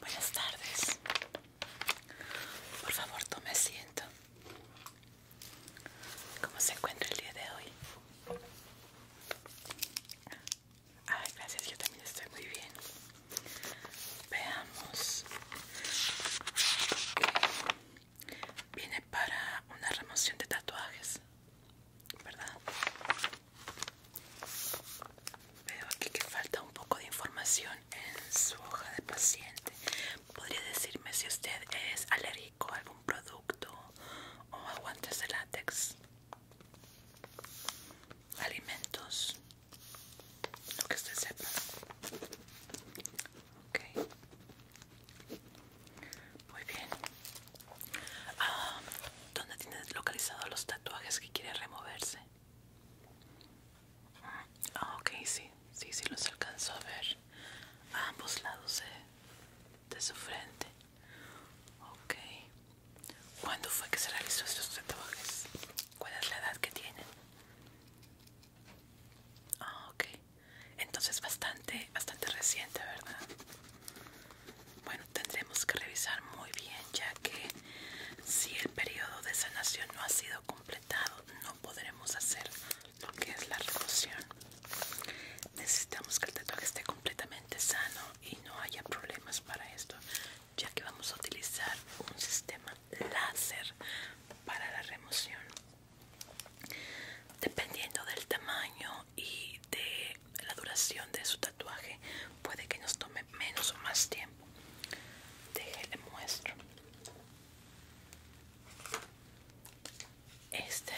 Buenas tardes. Por favor, tome asiento. ¿Cómo se encuentra el día de hoy? Ay, gracias, yo también estoy muy bien. Veamos viene para una remoción de tatuajes, ¿verdad? Veo aquí que falta un poco de información en su hoja de paciente. ¿Podría decirme si usted es alérgico a algún producto o aguantes de látex? Alimentos, lo que usted sepa. Okay. Muy bien. Ah, ¿Dónde tienes localizados los tatuajes que quiere removerse? Ah, ok, sí, sí, sí los alcanzó a ver a ambos lados de, su frente. Ok. ¿Cuándo fue que se realizó estos tatuajes? ¿Cuál es la edad que tienen? Ah, ok. Entonces bastante, bastante reciente, ¿verdad? Bueno, tendremos que revisar muy bien ya que si el periodo de sanación no ha sido completado, no podremos hacer lo que es la remoción. Necesitamos que el tatuaje esté completamente sano y no haya problemas para esto, ya que vamos a utilizar un sistema láser para la remoción. Dependiendo del tamaño y de la duración de su tatuaje, puede que nos tome menos o más tiempo. le muestro. Este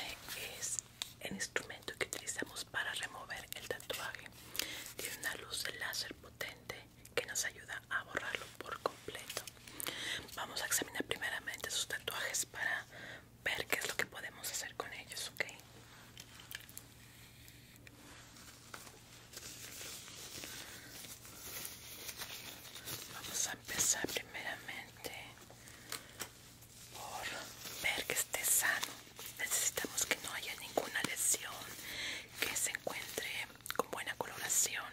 es el instrumento que utilizamos para remover el tatuaje. Tiene una luz de láser potente que nos ayuda a borrarlo por completo. Vamos a examinar primeramente sus tatuajes para ver qué es lo que podemos hacer con ellos, ¿ok? Vamos a empezar primeramente por ver que esté sano. Necesitamos que no haya ninguna lesión, que se encuentre con buena coloración.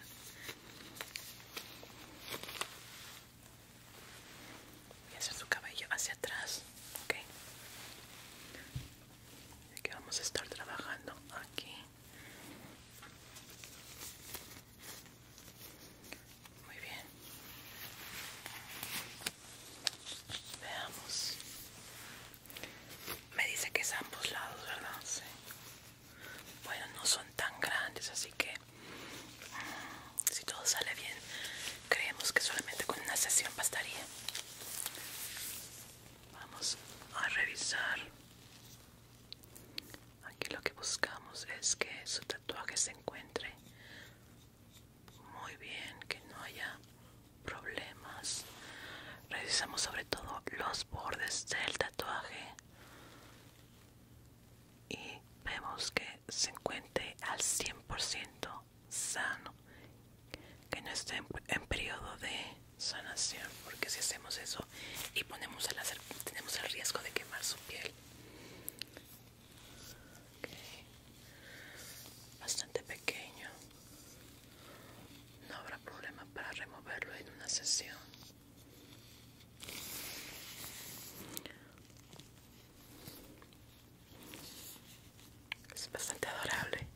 Voy a hacer su cabello hacia atrás, ¿ok? Así que vamos a estar trabajando aquí. Muy bien. Veamos. Me dice que es ambos lados, ¿verdad? Sí bueno no son tan grandes así que mm, si todo sale bien creemos que solamente con una sesión bastaría vamos a revisar aquí lo que buscamos es que su tatuaje se encuentre muy bien que no haya problemas revisamos sobre todo los bordes del tatuaje y vemos que se encuentre al 100% sano, que no esté en, periodo de sanación, porque si hacemos eso y ponemos el láser tenemos el riesgo de quemar su piel. Bastante pequeño. No habrá problema para removerlo en una sesión. Es bastante adorable.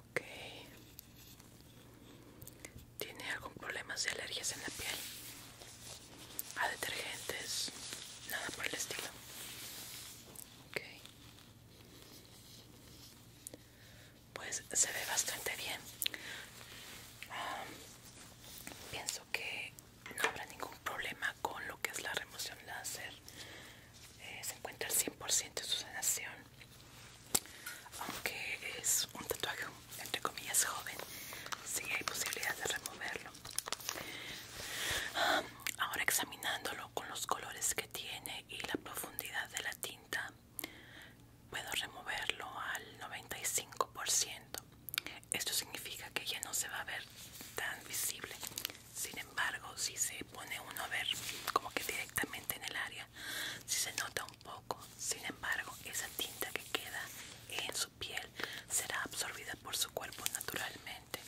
Ok. ¿Tiene algún problema de alergias en la piel? ¿A detergentes? Nada por el estilo. Okay pues se ve bastante bien pienso que no habrá ningún problema con lo que es la remoción láser eh, se encuentra al 100% en su sanación aunque es un tatuaje entre comillas joven si hay posibilidad de removerlo ahora examinándolo con los colores que tiene y la profundidad de la tinta puedo removerlo al 95%. Esto significa que ya no se va a ver tan visible. Sin embargo, si se pone uno a ver como que directamente en el área, si se nota un poco. Sin embargo, esa tinta que queda en su piel será absorbida por su cuerpo naturalmente,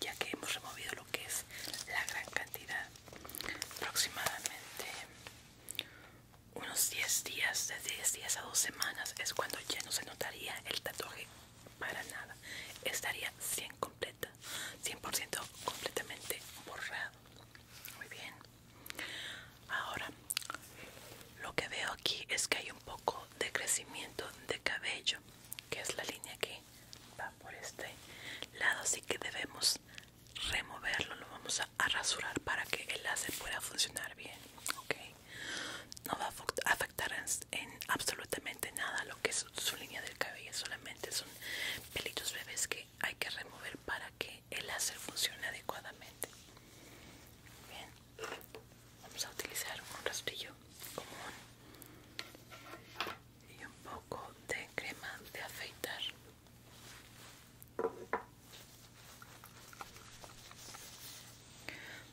ya que hemos removido lo que es la gran cantidad. Aproximadamente unos 10 días, de 10 días a 2 semanas es cuando ya no se notaría el tatuaje para nada. Estaría 100 completa, 100% completamente borrado. Muy bien. Ahora, lo que veo aquí es que hay un poco de crecimiento de cabello, que es la línea que va por este lado, así que debemos removerlo, lo vamos a, rasurar para que el láser pueda funcionar bien, No va a afectar en, absolutamente nada lo que es su línea del cabello, solamente son pelitos bebés que hay que remover para que el láser funcione adecuadamente. vamos a utilizar un rastrillo común y un poco de crema de afeitar.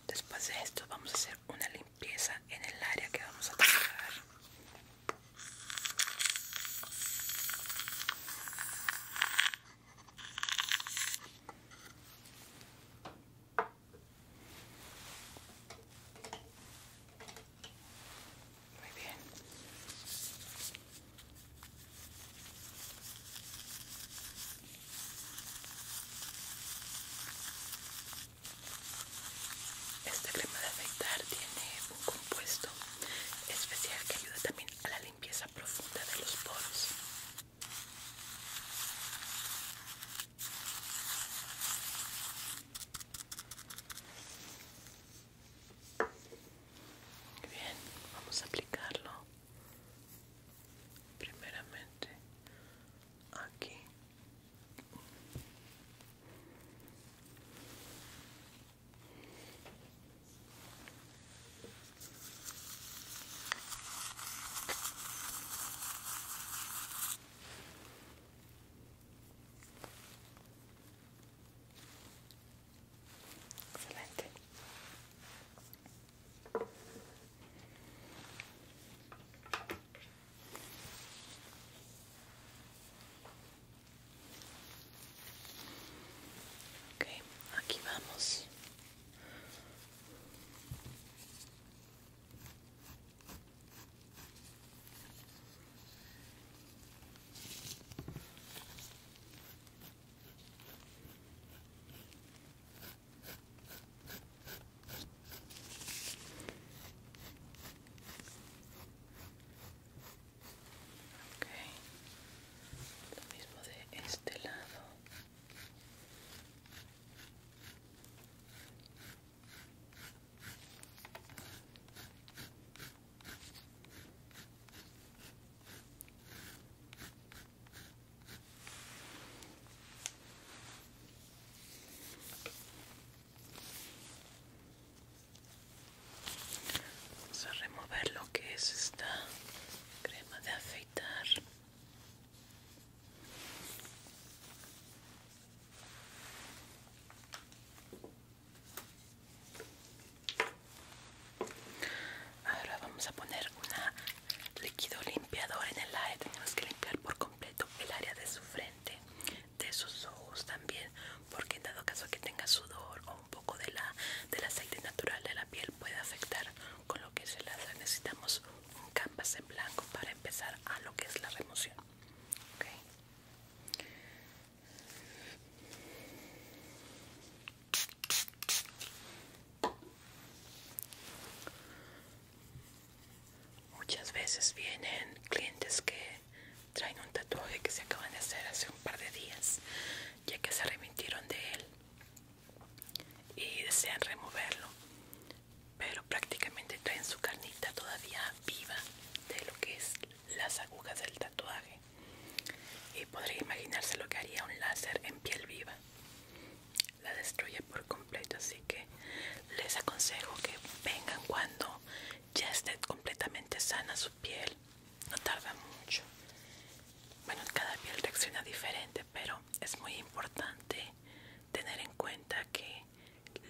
Después de esto vamos a hacer una limpieza en el área que vamos a trabajar. Muy bien. Este crema de afeitar tiene un compuesto especial que ayuda también a la limpieza profunda de los poros bien, vamos a aplicarlo primeramente aquí. Excelente. Ok, aquí vamos. Okay. Lo mismo de este lado. Vamos a remover lo que es esta crema de afeitar. Ahora vamos a poner un líquido limpiador en el aire, Tenemos que limpiar por completo el área de su frente, de sus ojos también, porque en dado caso que tenga sudor o un poco de del aceite natural de la piel puede afectar con lo que es el Necesitamos un canvas en blanco para empezar a lo que es la remoción. Okay. Muchas veces vienen clientes que traen un tatuaje que se acaban de hacer hace un par de días, ya que se arrepintieron de él y desean removerlo, pero prácticamente traen su carnita todavía viva de lo que es las agujas del tatuaje y podría imaginarse lo que haría un láser en piel viva la destruye por completo así que les aconsejo que vengan cuando ya esté completamente sana su piel no tarda mucho bueno cada piel reacciona diferente pero es muy importante tener en cuenta que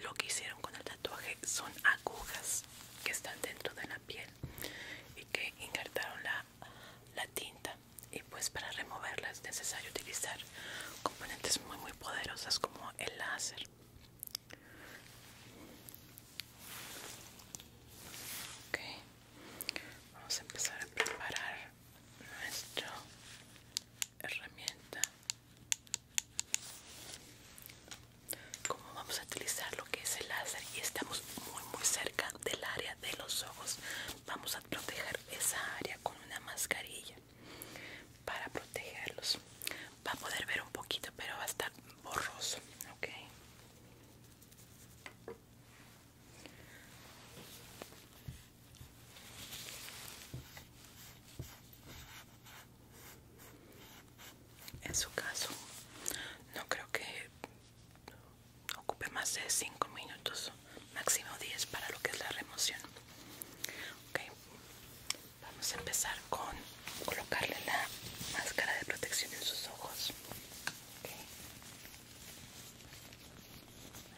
lo que hicieron con el tatuaje son agujas que están dentro de la piel y que injertaron la, tinta y pues para removerla es necesario utilizar componentes muy muy poderosas como el láser ok vamos a empezar a preparar nuestra herramienta como vamos a utilizar lo que es el láser y estamos muy muy cerca del área de los ojos vamos a proteger esa área con una mascarilla para protegerlos va a poder ver un poquito pero va a estar borroso ok en su caso, no creo que ocupe más de 5 minutos, máximo 10 para lo que es la remoción. Okay. Vamos a empezar con colocarle la máscara de protección en sus ojos.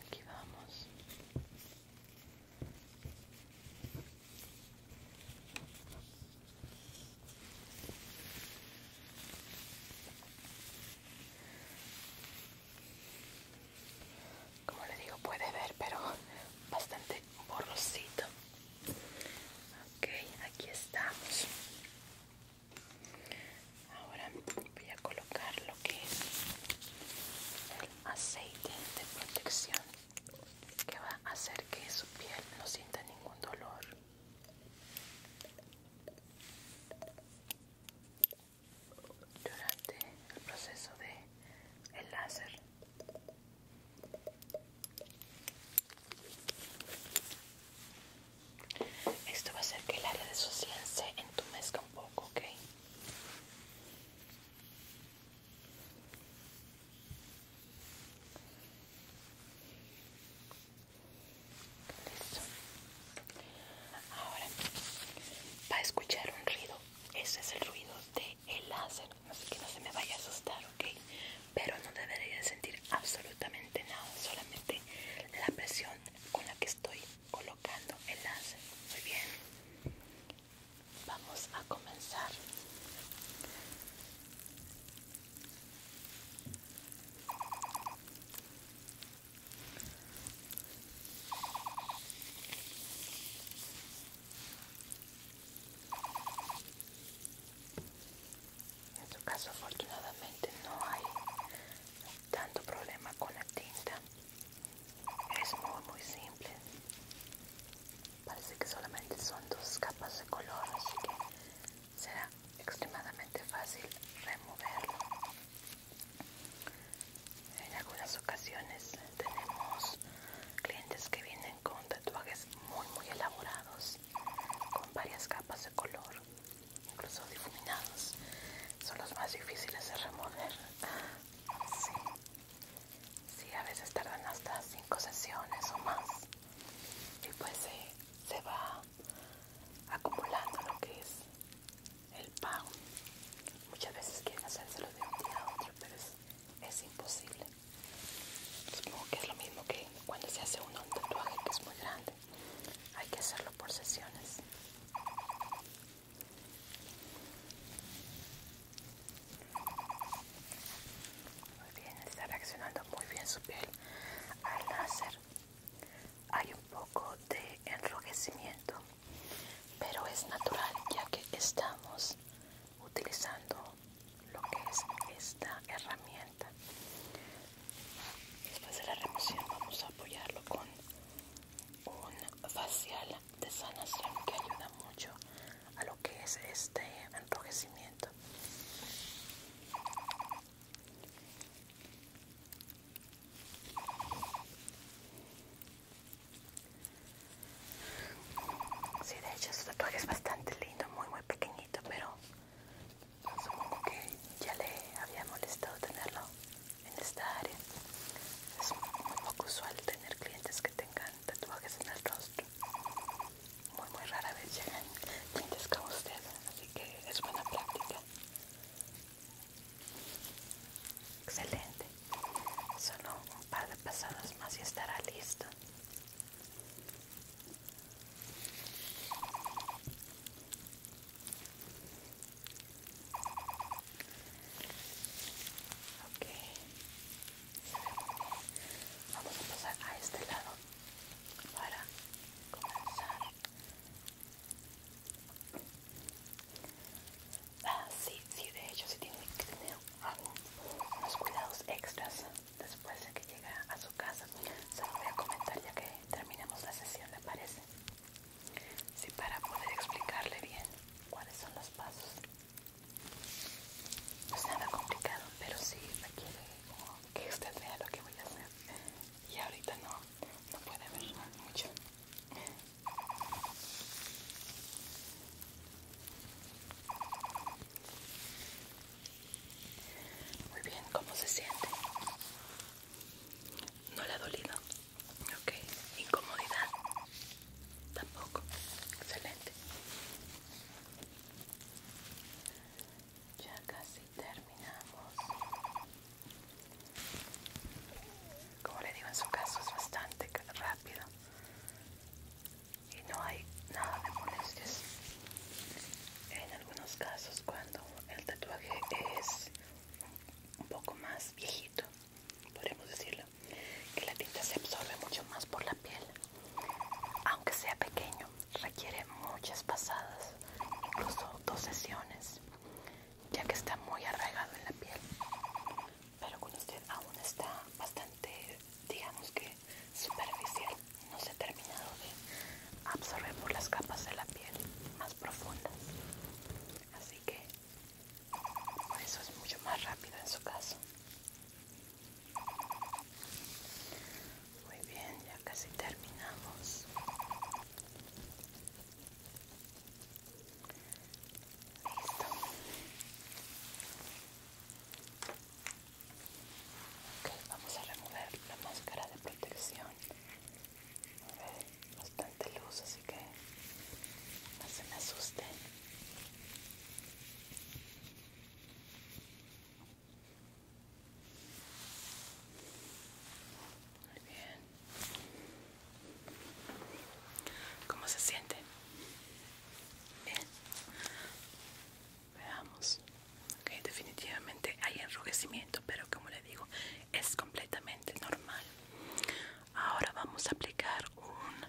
Aquí vamos. Como le digo, puede ver, pero bastante borrosito. Ok, aquí estamos. Ahora voy a colocar lo que es el aceite de protección que va a hacer que su piel no sienta ningún dolor. Durante el proceso de el láser. Esto va a hacer que el área de su cien se entumezca un poco, ¿ok? Ahora va a escuchar un ruido. Ese es el ruido de el láser. Así que no se me vaya a asustar, ¿ok? Pero no debería sentir absolutamente nada. Solamente la presión con la que estoy colocando el láser. Muy bien vamos a comenzar. En su caso afortunadamente no hay tanto problema con la tinta. Es muy muy simple parece que solamente son dos capas de color así que será extremadamente fácil removerlo en algunas ocasiones tenemos clientes que vienen con tatuajes muy muy elaborados con varias capas de color incluso difuminados son los más difíciles de remover ah, si a veces tardan hasta 5 sesiones o más. Y pues se, va acumulando lo que es el pago. Muchas veces quieren hacérselo de un día a otro, pero es, es imposible. Supongo que es lo mismo que cuando se hace uno un tatuaje que es muy grande. Hay que hacerlo por sesiones. Muy bien, está reaccionando muy bien su piel al láser. Hay un poco de enrojecimiento, pero es natural ya que estamos utilizando lo que es esta herramienta. Después de la remoción vamos a apoyarlo con un facial de sanación que ayuda mucho a lo que es este enrojecimiento. Sí, de hecho su tatuaje es bastante lindo, muy muy pequeñito, pero supongo que ya le había molestado tenerlo en esta área. Es muy poco usual tener clientes que tengan tatuajes en el rostro. Muy, muy rara vez llegan clientes como usted, así que es buena práctica. Excelente. Solo un par de pasadas más y estará listo. Ok. Vamos a pasar a este lado para comenzar. Ah, sí, sí, de hecho, si tiene que tener unos cuidados extras después de que llega a su casa. Se lo voy a comentar ya que terminamos la sesión, ¿le parece? Sí, para poder explicarle bien cuáles son los pasos. No es pues nada complicado, pero sí requiere que usted vea lo que voy a hacer. Y ahorita no, no puede ver mucho. Muy bien, ¿cómo se siente? ¿No le ha dolido? Ok, incomodidad. Tampoco. Excelente. Ya casi terminamos. Como le digo, en su caso es bastante rápido. Y no hay nada de molestias. En algunos casos, cuando el tatuaje es un poco más viejito, podemos decirlo, que la tinta se absorbe mucho más por la piel. Aunque sea pequeño, requiere muchas pasadas, incluso dos sesiones, ya que está muy arraigado en la piel. Pero con usted aún está bastante, digamos que superficial, no se ha terminado de absorber por las capas de la piel más profundas. Así que eso es mucho más rápido en su caso. Muy bien, ya casi terminamos. Listo. Ok, vamos a remover la máscara de protección bastante luz, así que no se me asuste Muy bien. ¿Cómo se siente? Bien. Veamos. Ok, definitivamente hay enrojecimiento, pero como le digo, es completamente normal. Ahora vamos a aplicar un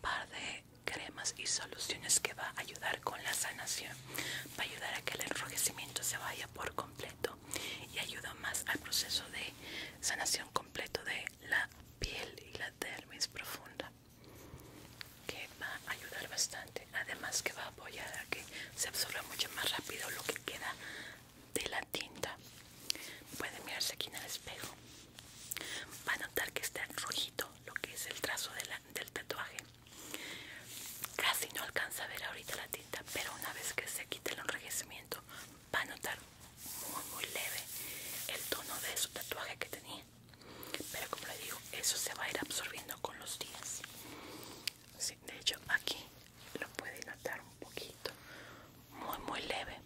par de cremas y soluciones que va a ayudar con la sanación. Va a ayudar a que el enrojecimiento se vaya por completo y ayuda más al proceso de sanación completo de la piel y la dermis profunda que va a ayudar bastante además que va a apoyar a que se absorba mucho más rápido lo que queda de la tinta pueden mirarse aquí en el espejo va a notar que está rojito lo que es el trazo del tatuaje casi no alcanza a ver ahorita la tinta pero una vez que se quite el enrojecimiento va a notar muy muy leve el tono de su tatuaje que tenía pero como le digo eso se va a ir absorbiendo con los días de hecho aquí lo puede notar un poquito muy muy leve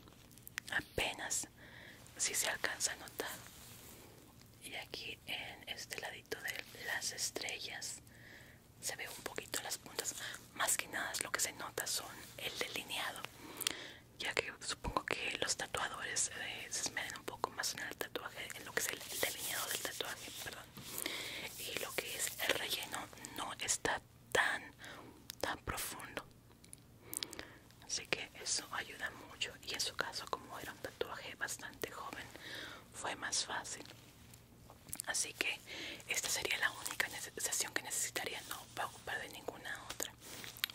apenas si se alcanza a notar y aquí en este ladito de las estrellas se ve un poquito las puntas más que nada lo que se nota son el delineado ya que supongo que los tatuadores eh, se esmeren un poco más en el tatuaje en lo que es el delineado del tatuaje perdón y lo que es el relleno no está tan tan profundo Así que eso ayuda mucho y en su caso como era un tatuaje bastante joven fue más fácil. Así que esta sería la única sesión que necesitaría, no para ocupar de ninguna otra.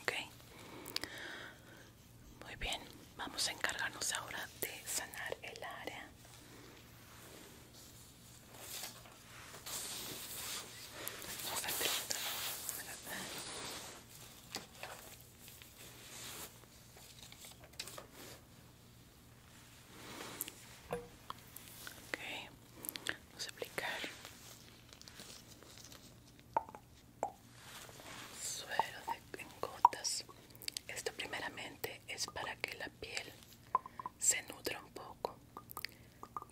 ¿Ok? Muy bien, vamos a encargarnos ahora de sanar el área. Ok, vamos a aplicar suero de, en gotas. Esto primeramente es para que la piel se nutra un poco,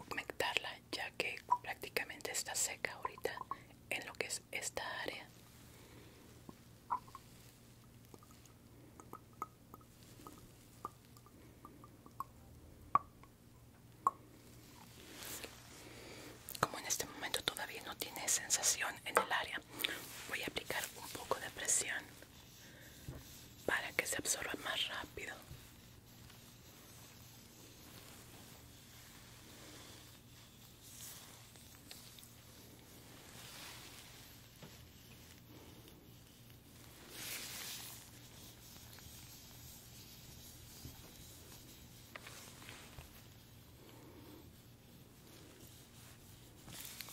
humectarla ya que prácticamente está seca ahorita en lo que es esta área. Como en este momento todavía no tiene sensación en el área, voy a aplicar un poco de presión para que se absorba más rápido.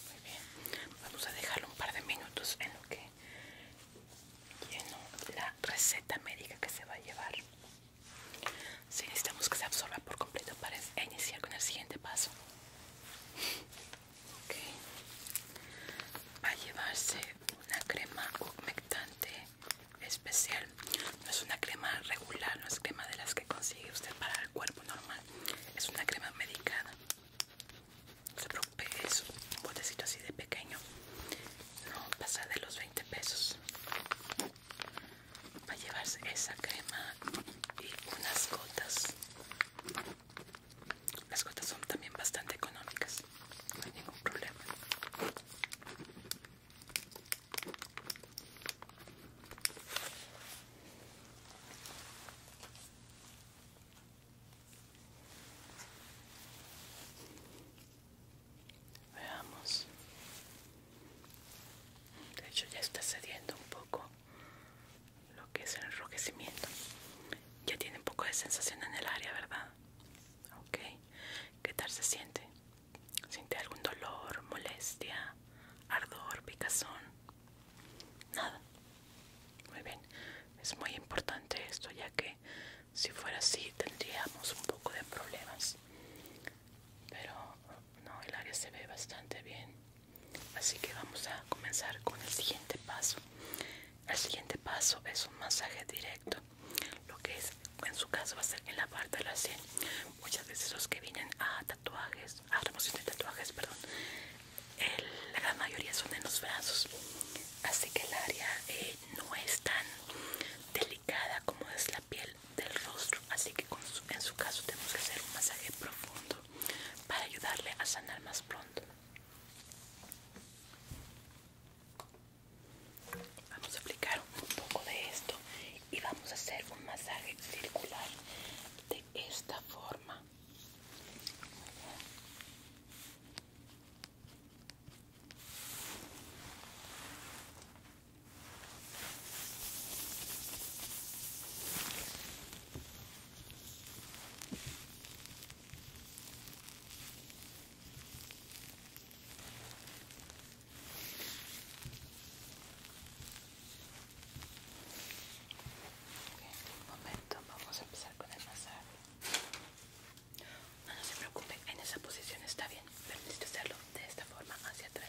Muy bien, vamos a dejarlo un par de minutos en lo que lleno la receta médica que se va a llevar. Si necesitamos que se absorba por completo para iniciar con el siguiente paso. Va a llevarse una crema humectante especial. No es una crema regular, no es crema de las que consigue usted para el cuerpo normal. Es una crema medicada. No se preocupe, es un botecito así de pequeño. No pasa de los 20 pesos. Va a llevarse esa crema y unas gotas. Las gotas son también bastante económicas. No hay ningún problema. Veamos. De hecho ya está cediendo un poco lo que es el enrojecimiento. Ya tiene un poco de sensación en el área, ¿verdad? Ok. ¿Qué tal se siente? ¿Siente algún dolor, molestia, ardor, picazón? nada. Muy bien, es muy importante esto ya que si fuera así tendríamos un poco de problemas. Pero no, el área se ve bastante bien. Así que vamos a comenzar con el siguiente paso. El siguiente paso es un masaje directo. Lo que es, en su caso, va a ser en la parte de la sien. Muchas veces los que vienen a tatuajes, a remoción de tatuajes, perdón, la gran mayoría son en los brazos así que el área eh, no es tan delicada como es la piel del rostro así que en su caso tenemos que hacer un masaje profundo para ayudarle a sanar más pronto vamos a aplicar un poco de esto y vamos a hacer un masaje circular de esta forma Okay, un momento, vamos a empezar con el masaje. Ah, no, se preocupen, en esa posición está bien, pero hacerlo de esta forma hacia atrás.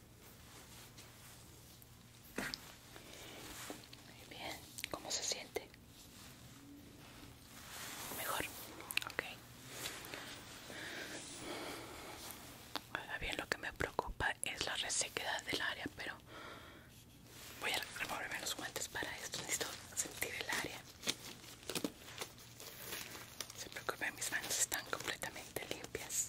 Muy bien, ¿cómo se siente? Mejor, ok. Ahora bien, lo que me preocupa es la resequedad del área, pero voy a removerme los guantes para esto. Necesito sentir el área. Se preocupen, mis manos están completamente limpias.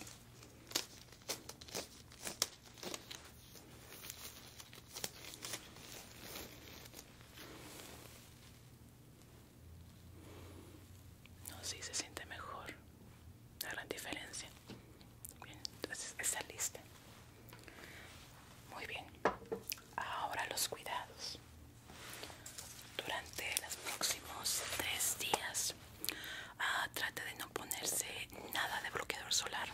No, sí, se siente mejor. La gran diferencia. Bien, entonces está lista. Muy bien. Ahora los cuidados. Durante los próximos tres días Ah, trate de no ponerse nada de bloqueador solar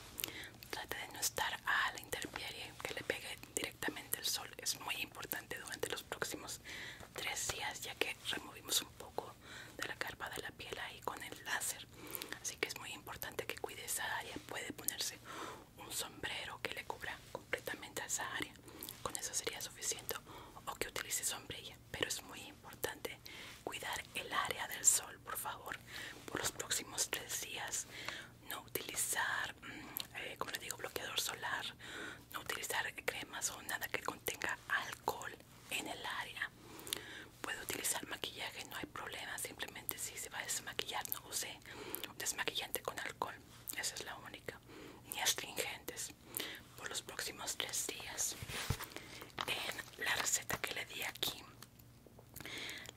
trate de no estar a la intemperie que le pegue directamente el sol es muy importante durante los próximos tres días ya que removimos un poco de la carpa de la piel ahí con el láser así que es muy importante que cuide esa área puede ponerse un sombrero que le cubra completamente a esa área con eso sería suficiente o que utilice sombrilla pero es muy importante cuidar el área del sol, por favor, por los próximos tres días. No utilizar, mm, eh, como le digo, bloqueador solar, no utilizar cremas o nada que contenga alcohol en el área. Puede utilizar maquillaje, no hay problema, simplemente si se va a desmaquillar, no use desmaquillante con alcohol, esa es la única, ni astringentes por los próximos tres días en la receta que le di aquí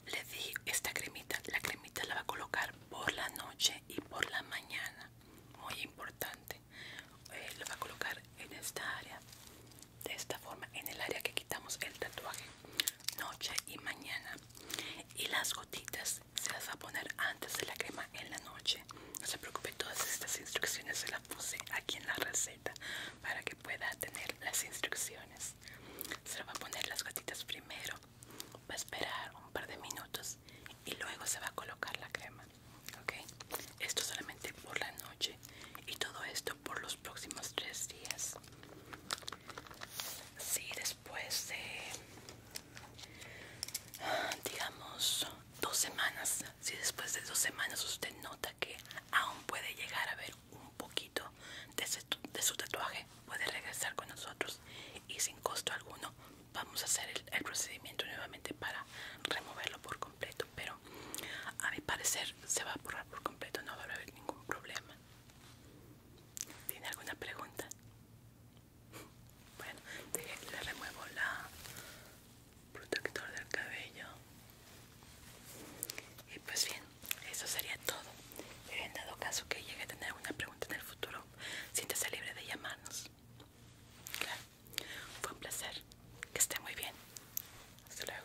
le di esta cremita la cremita la va a colocar por la noche y por la mañana muy importante la eh, lo va a colocar en esta área de esta forma en el área que quitamos el tatuaje noche y mañana y las gotitas se las va a poner antes de la crema en la noche no se preocupe todas estas instrucciones se puse aquí en la receta para que pueda tener las instrucciones. Se va a poner las gotitas primero, va a esperar un par de minutos y luego se va a colocar la crema. Esto solamente por la noche y todo esto por los próximos tres días. Si después de, digamos, dos semanas, si después de dos semanas usted nota que aún puede llegar a ver un poquito de, su tatuaje, puede regresar con nosotros y sin costo alguno vamos a hacer el, el procedimiento nuevamente para removerlo por completo. Pero a mi parecer se va a borrar por completo, no va a haber ningún problema. ¿Tiene alguna pregunta? Bueno, le remuevo la, protector del cabello y pues bien eso sería todo en dado caso que llegue a tener alguna pregunta en el futuro siéntese libre de llamarnos claro fue un placer que esté muy bien hasta luego